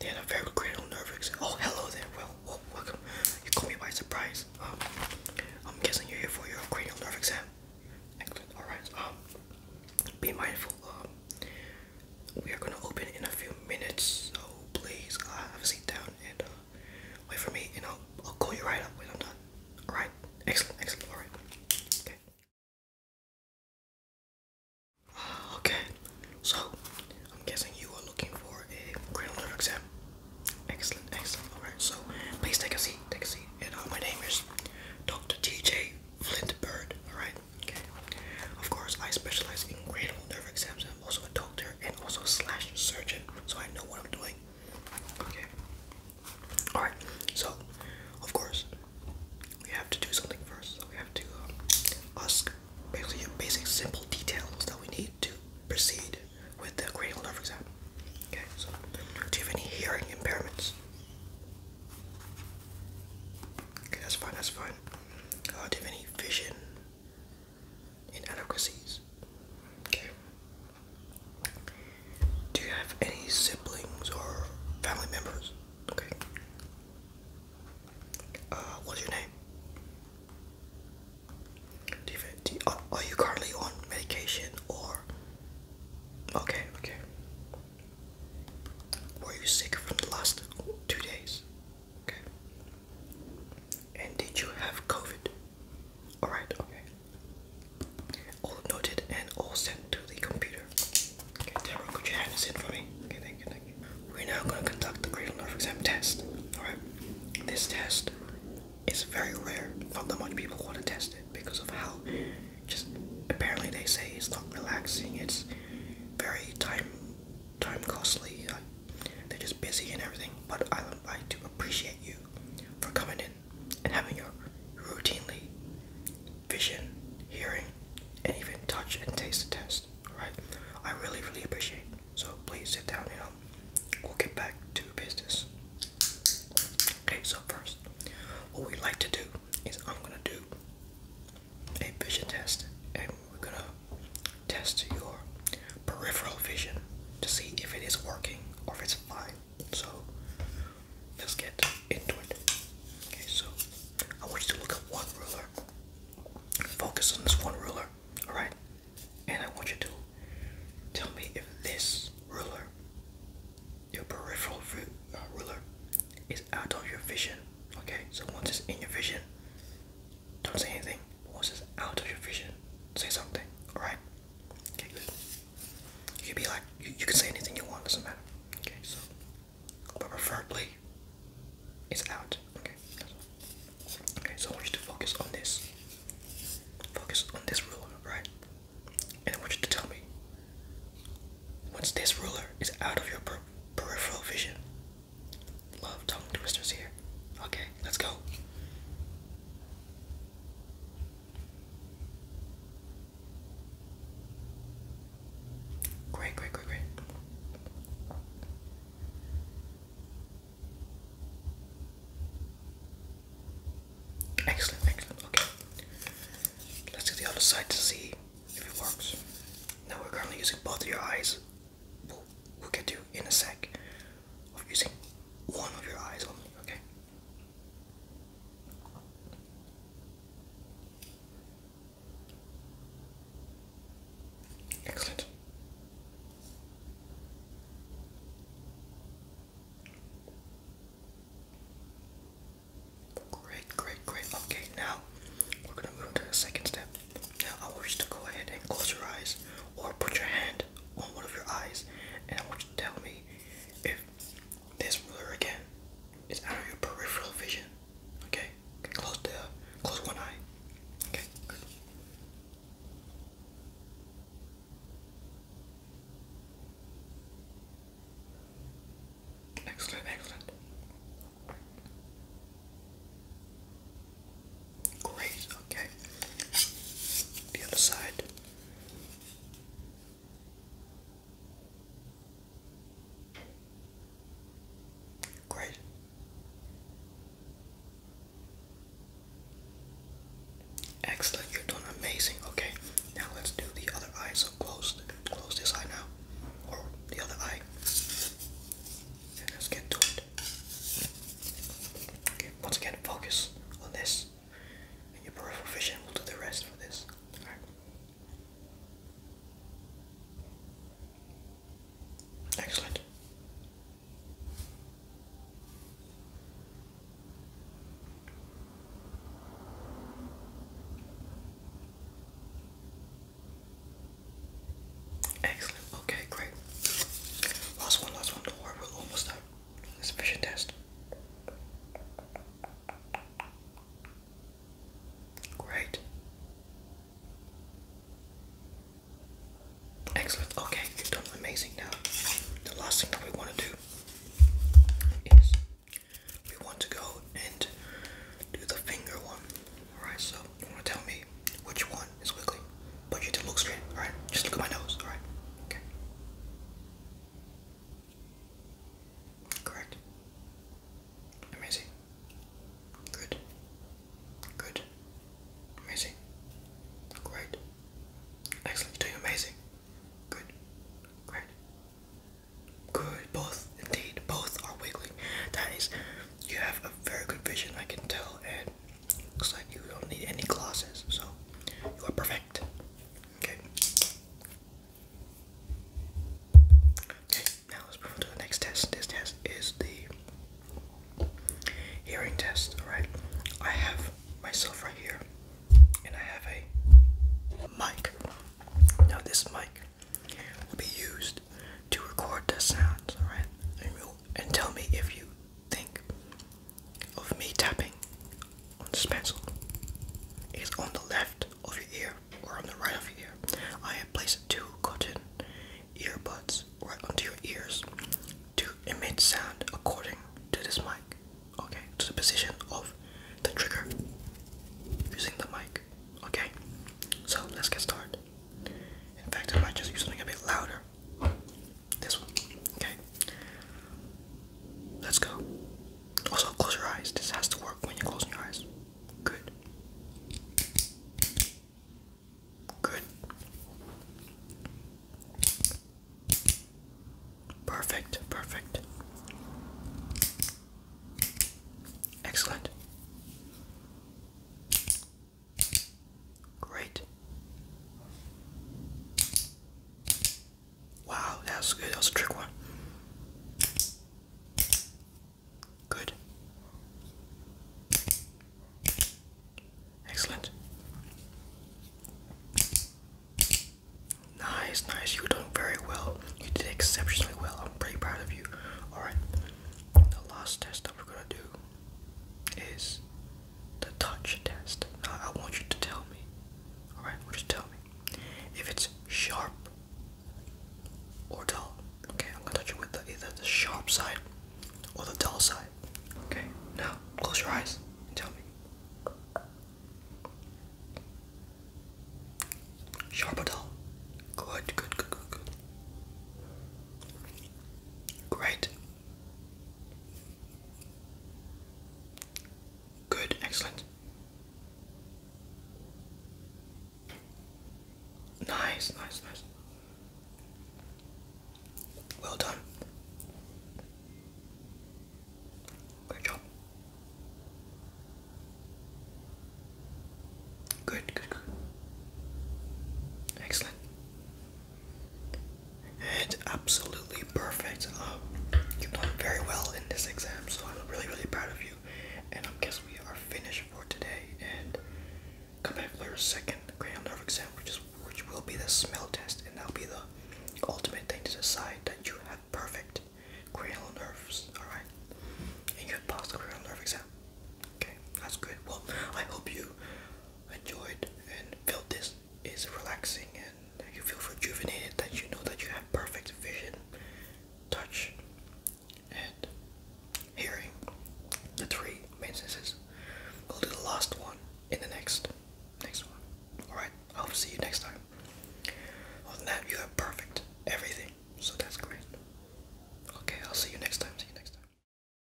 They a very cranial nerve exam. Oh, hello there. Well, oh, welcome. You caught me by surprise. Um, I'm guessing you're here for your cranial nerve exam. Excellent. All right. Um, be mindful. Um, we are gonna open in a few minutes, so please uh, have a seat down and uh, wait for me, and I'll I'll call you right up when I'm done. All right. Excellent. Excellent. All right. Okay. Okay, so I'm guessing you are looking for a grade nerve exam. Excellent, excellent. All right, so please take a seat, take a seat. And uh, my name is Dr. T.J. Flint Bird. All right, okay. Of course, I specialize in cranial nerve exams. I'm also a doctor and also a slash surgeon, so I know what I'm doing. Okay. All right. So, of course, we have to do something first. So we have to um, ask basically basic simple details that we need to proceed with the cranial nerve exam. Okay, so do you have any hearing impairments? Okay, that's fine, that's fine. Uh, do you have any vision inadequacies? Okay. Do you have any siblings or family members? Okay. Uh, what's your name? Oh, are, you currently on medication or? Okay, okay. Were you sick from the last two days? Okay. And did you have COVID? Alright, okay. All noted and all sent to the computer. Okay, Deborah, could you hand this in for me? Okay, thank thank We're now going to conduct the cranial nerve exam test. Alright, this test is very rare. Not that much people want to test it because of how just apparently they say it's not relaxing. It's very time time costly. Uh, they're just busy and everything. But I would like to appreciate you for coming in and having your routinely vision, hearing, and even touch and taste the test. Right? I really, really appreciate So please sit down, you know. We'll get back to business. Okay, so first, what we like to do is I'm gonna do a vision test and we're gonna test your peripheral vision to see if it is working or if it's fine. So Let's get into it. Okay, so I want you to look at one ruler. Focus on this one ruler, alright? And I want you to tell me if this ruler, your peripheral uh, ruler, is out of your vision. Okay, so once it's in your vision, don't say anything. Once it's out of your vision, say something, alright? Okay, good. You can be like, you can say anything you want, doesn't matter. Okay, so but preferably it's out. Okay. Okay, so I want you to focus on this. Focus on this ruler, right? And I want you to tell me once this ruler is out of your peripheral vision. Love tongue twisters here. Okay, let's go. Great, great, great, great. Excellent, excellent. Okay. Let's do the other side to see if it works. Now we're currently using both of your eyes. We'll, we'll get to in a sec of using one of your eyes only, okay? Excellent. Great, great, great. Okay, now we're going to move to the second step. Now I want you to go ahead and close your eyes or put your hand on one of your eyes and I want you to tell me if this ruler again It's out of your peripheral vision. Okay, close the close one eye. Okay, Excellent, excellent. Great, okay. The other side. Great. Excellent, you're doing amazing. Okay, now let's do the other eye. So close, close this eye now, or the other eye, let's get to it. Okay, once again, focus on this and your peripheral vision will do the rest for this. Excellent. Excellent. Okay, great. Last one, last one. we're almost done. vision test. Great. Excellent. Okay, you've done amazing now. The last thing that we want to do is we want to go and do the finger one. Alright, so you want to tell me which one is wiggly. But you need to look straight, alright? Just look at my nose, alright? Okay. Correct. Amazing. Good. Good. Amazing. Great. Excellent. You're doing amazing. Good. Great. Good. Both, indeed, both are wiggling. That is, you have a very good vision, I can tell, and looks like you don't need any glasses, so you are perfect. Okay. Okay, now let's move on to the next test. This test is the hearing test, alright? I have myself right here, and I have a mic. Now, this mic will be used to record the sounds, alright? And, and tell me if you think of me tapping on this pencil is on the left of your ear or on the right of your ear. I have placed two cotton earbuds right onto your ears to emit sound according to this mic, okay, to the position of the trigger using the mic, okay. So let's get started. In fact, I might just use something a bit louder this one. Okay. Let's go. Also, close your eyes. This has to work when you're closing your eyes. Good. Good. Perfect. Perfect. Excellent. Great. Wow, that was good. That was a trick one. Good. Excellent. Nice, nice. You're doing very well. You did exceptionally well. I'm pretty proud of you. Alright. The last test that we're gonna do is the touch test. I want you to tell me. Alright, just tell me. If it's sharp or dull. Okay, I'm gonna touch it with either the sharp side or the dull side. Okay, now close your eyes and tell me. Sharp or dull? Good, good, good, good, good. Great. Good, excellent. Nice, nice, nice. Well done. Good job. Good, good, Excellent and absolutely perfect. Um, you've done very well in this exam, so I'm really, really proud of you. And I am guess we are finished for today. And come back for your second cranial nerve exam, which is which will be the smell test, and that'll be the ultimate thing to decide that you have perfect cranial nerves. All right, and you have passed the cranial nerve exam. Okay, that's good. Well, I hope you enjoyed and feel this is relaxing and you feel rejuvenated that you know that you have perfect vision, touch, and hearing. The three main senses. We'll do the last one in the next next one. Alright, I'll see you next time. On that you have perfect everything. So that's great. Okay, I'll see you next time. See you next time.